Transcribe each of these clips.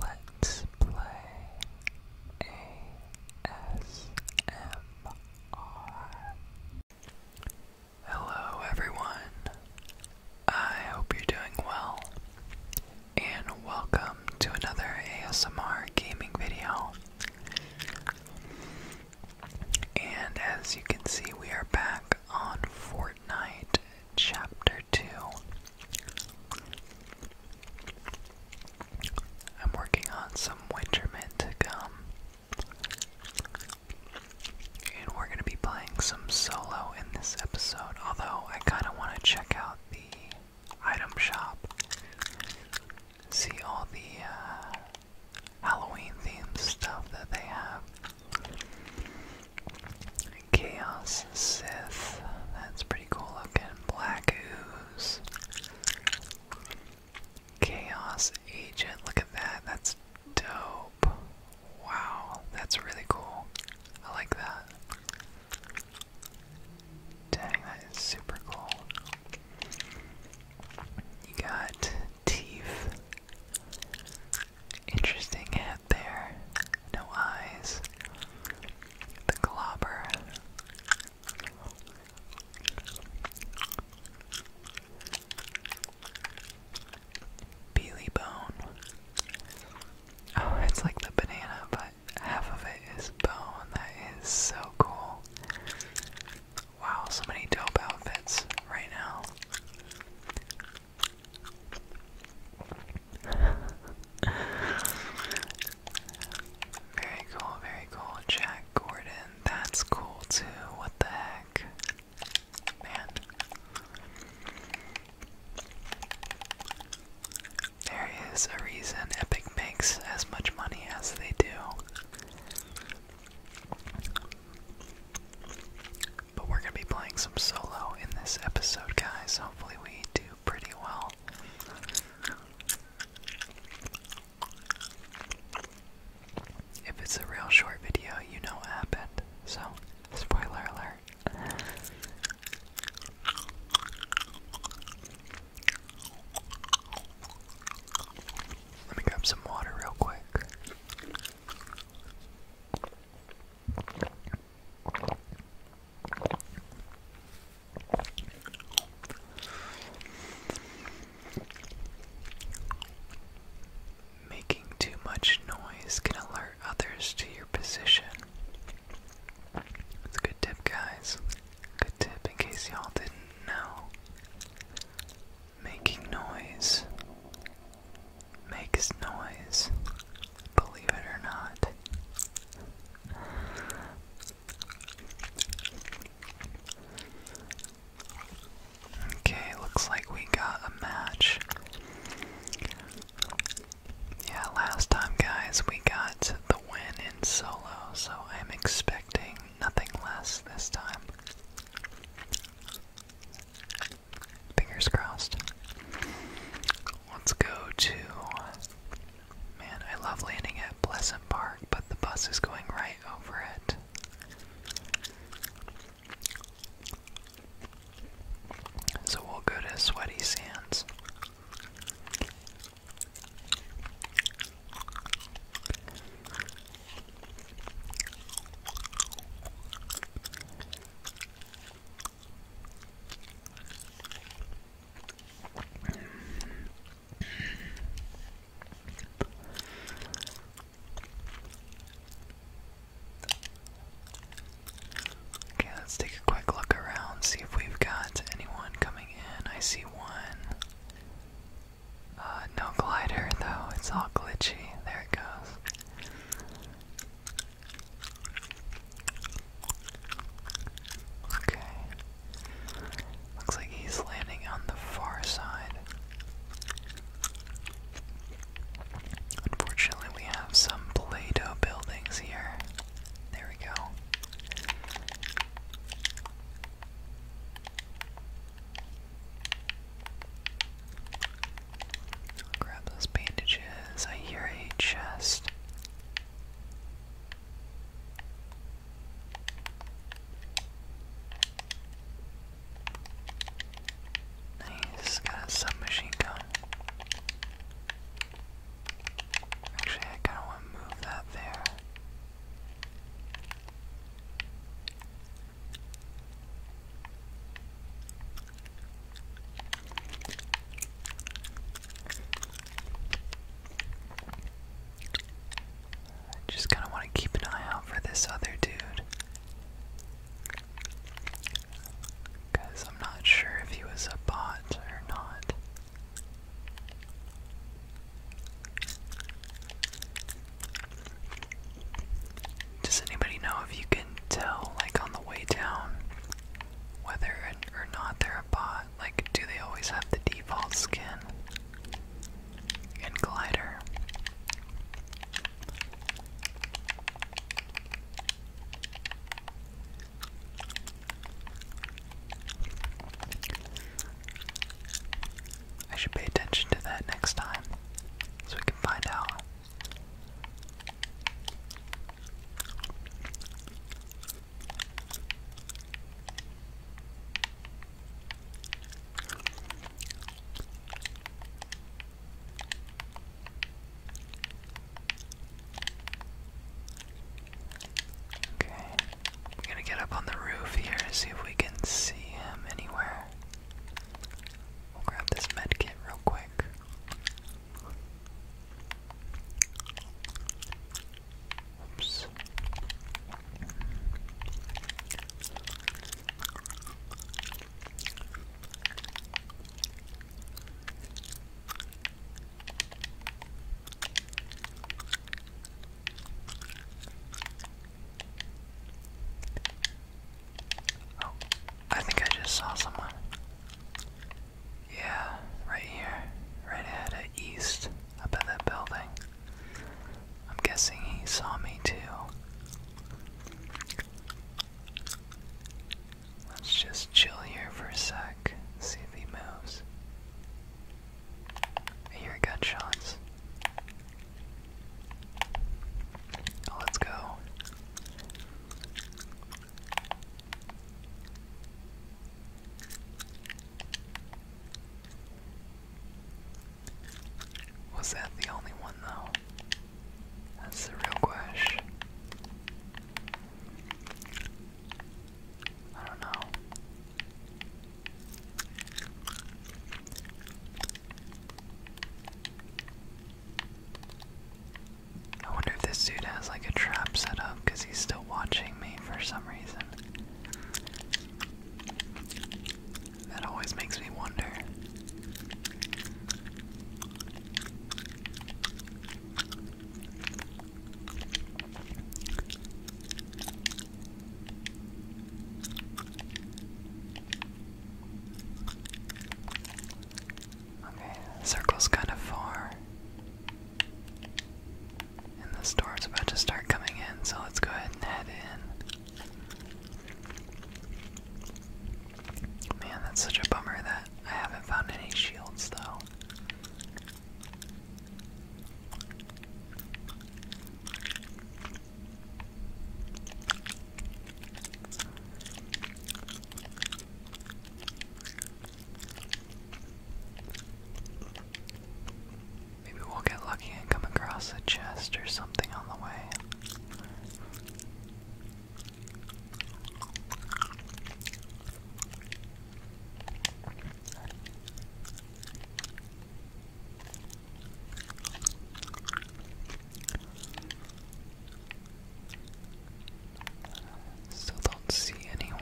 Let's play ASMR. Hello, everyone. I hope you're doing well, and welcome to another ASMR gaming video. And as you can see, we are back on Fortnite Chapter 2. I'm working on some winter mint to come. And we're going to be playing some solo in this episode, although I kind of want to check out the item shop. See all the uh, Halloween themed stuff that they have. Chaos Sith. That's pretty cool looking. Black Ooze. Chaos Agent. Look at that. That's dope. Wow. That's really cool. I like that. Dang, that is super cool. You got Teeth. Interesting hat there. No eyes. The globber. Peely bone. Oh, it's like the banana, but half of it is bone. That is so cool. Wow, so many dope outfits right now very cool, very cool. Jack Gordon, that's cool too. What the heck? Man. There is a reason Epic makes as much money as they do. But we're going to be playing some solo in this episode, guys. Hopefully, we do pretty well. If it's a real short video, you know what happened. So, spoiler alert. Let me grab some water real quick. Making too much noise can alert others to your position. It's a good tip, guys. Good tip in case y'all didn't know. Making noise makes noise, believe it or not. Okay, looks like we got a match. Yeah, last time, guys, we got the win in solo, so I'm expecting nothing less this time. Fingers crossed. Let's go to. Man, I love landing at Pleasant Park, but the bus is going right over it. So we'll go to Sweaty Sands. Okay, let's take a quick look around, see if we've got anyone coming in. I see one. Uh, no glider though, it's all glitchy. There it goes. Okay. Looks like he's landing on the far side. Unfortunately, we have some Play Doh buildings here. There we go i grab those bandages. I hear a chest. Nice, got a submachine gun. Actually, I kind of want to move that there. Just kind of want to keep an eye out for this other dude. Because I'm not sure if he was a bot or not. Does anybody know if you can tell, like, on the way down, whether or not they're a bot? Like, do they always have the default skin and glider? I should pay attention to that next time so we can find out. Okay, we're gonna get up on the roof here and see if we can see him anywhere. We'll grab this med kit real quick. Oops. Oh, I think I just saw someone. Yeah, right here. Right ahead at east, up at that building. I'm guessing he saw me too. Let's just chill here for a sec, see if he moves. hear gunshots. Oh, let's go. Was that the only one, though? That's the real question. I don't know. I wonder if this dude has like a trap set up because he's still watching me for some reason. That always makes me wonder. Okay, the circle's kind of far. And this door's about to start coming in, so let's go ahead and head in. Man, that's such a bummer that I haven't found any shields, though. Maybe we'll get lucky and come across a chest or something on the way. Still don't see anyone.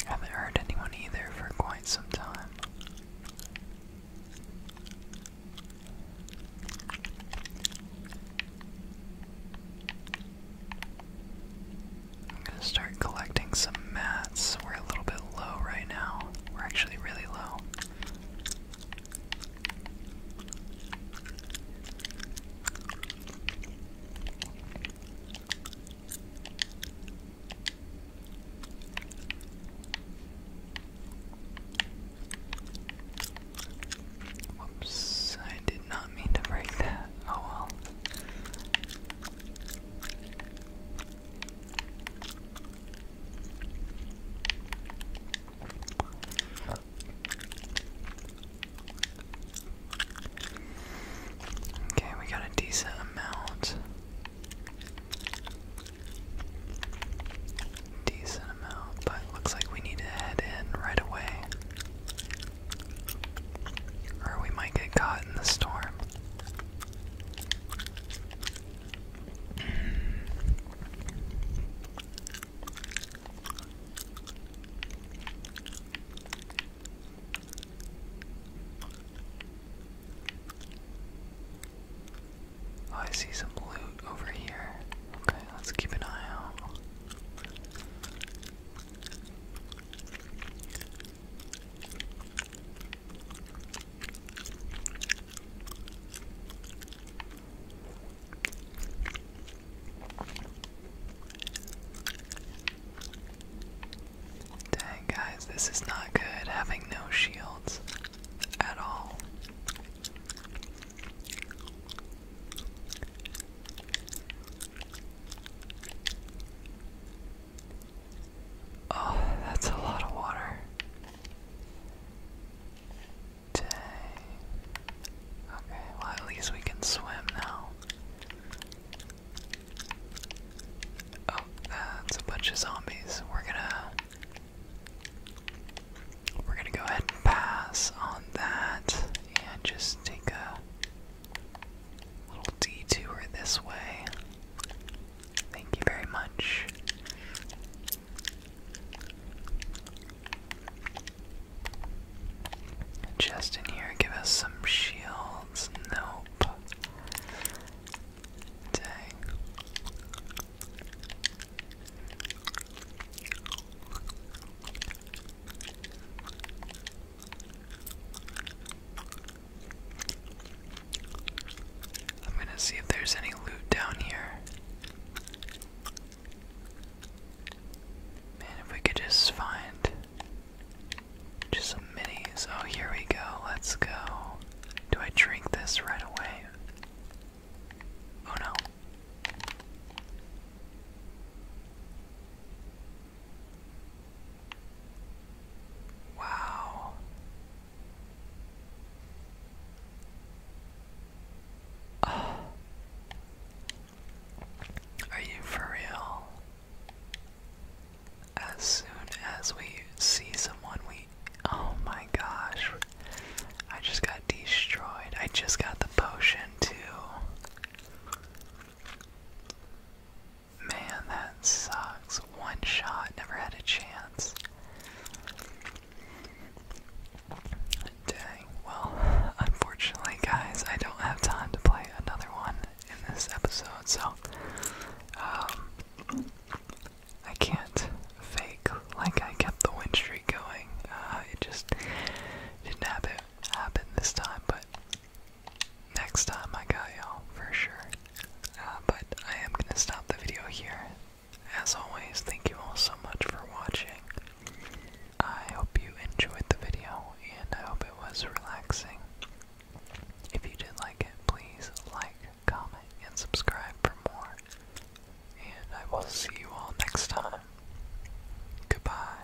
I haven't heard anyone either for quite some time start collecting some mats. We're a little bit low right now. We're actually really low. Whoops, I did not mean to break that. Oh well. Okay, we got a decent amount. Decent amount, but looks like we need to head in right away. Or we might get caught in the storm. Oh, I see some loot over here. Okay, let's keep an eye out. Dang, guys, this is not good having no shields at all. Oh, that's a lot of water. Dang. Okay, well, at least we can swim now. Oh, that's a bunch of zombies. We're gonna. We're gonna go ahead and pass on that and just take a Little detour this way. Thank you very much. Just here, give us some shields. Nope. Dang. I'm gonna see if there's any loot down here. Man, if we could just find just some minis. Oh, here we go. Let's go. Do I drink this right away? Oh no. Wow. Are you for real? As soon as we see someone, we. Oh my gosh. I just got destroyed. I just got the potion, too. Man, that sucks. One shot, never had a chance. Dang, well, unfortunately, guys, I don't have time to play another one in this episode, so um, I can't fake like I kept the win streak going. Uh, it just didn't happen, happen this time, but next time I got y'all for sure. Uh, but I am gonna stop the video here. As always, thank you all so much for watching. I hope you enjoyed the video and I hope it was relaxing. If you did like it, please like, comment, and subscribe for more. And I will see you all next time. Goodbye.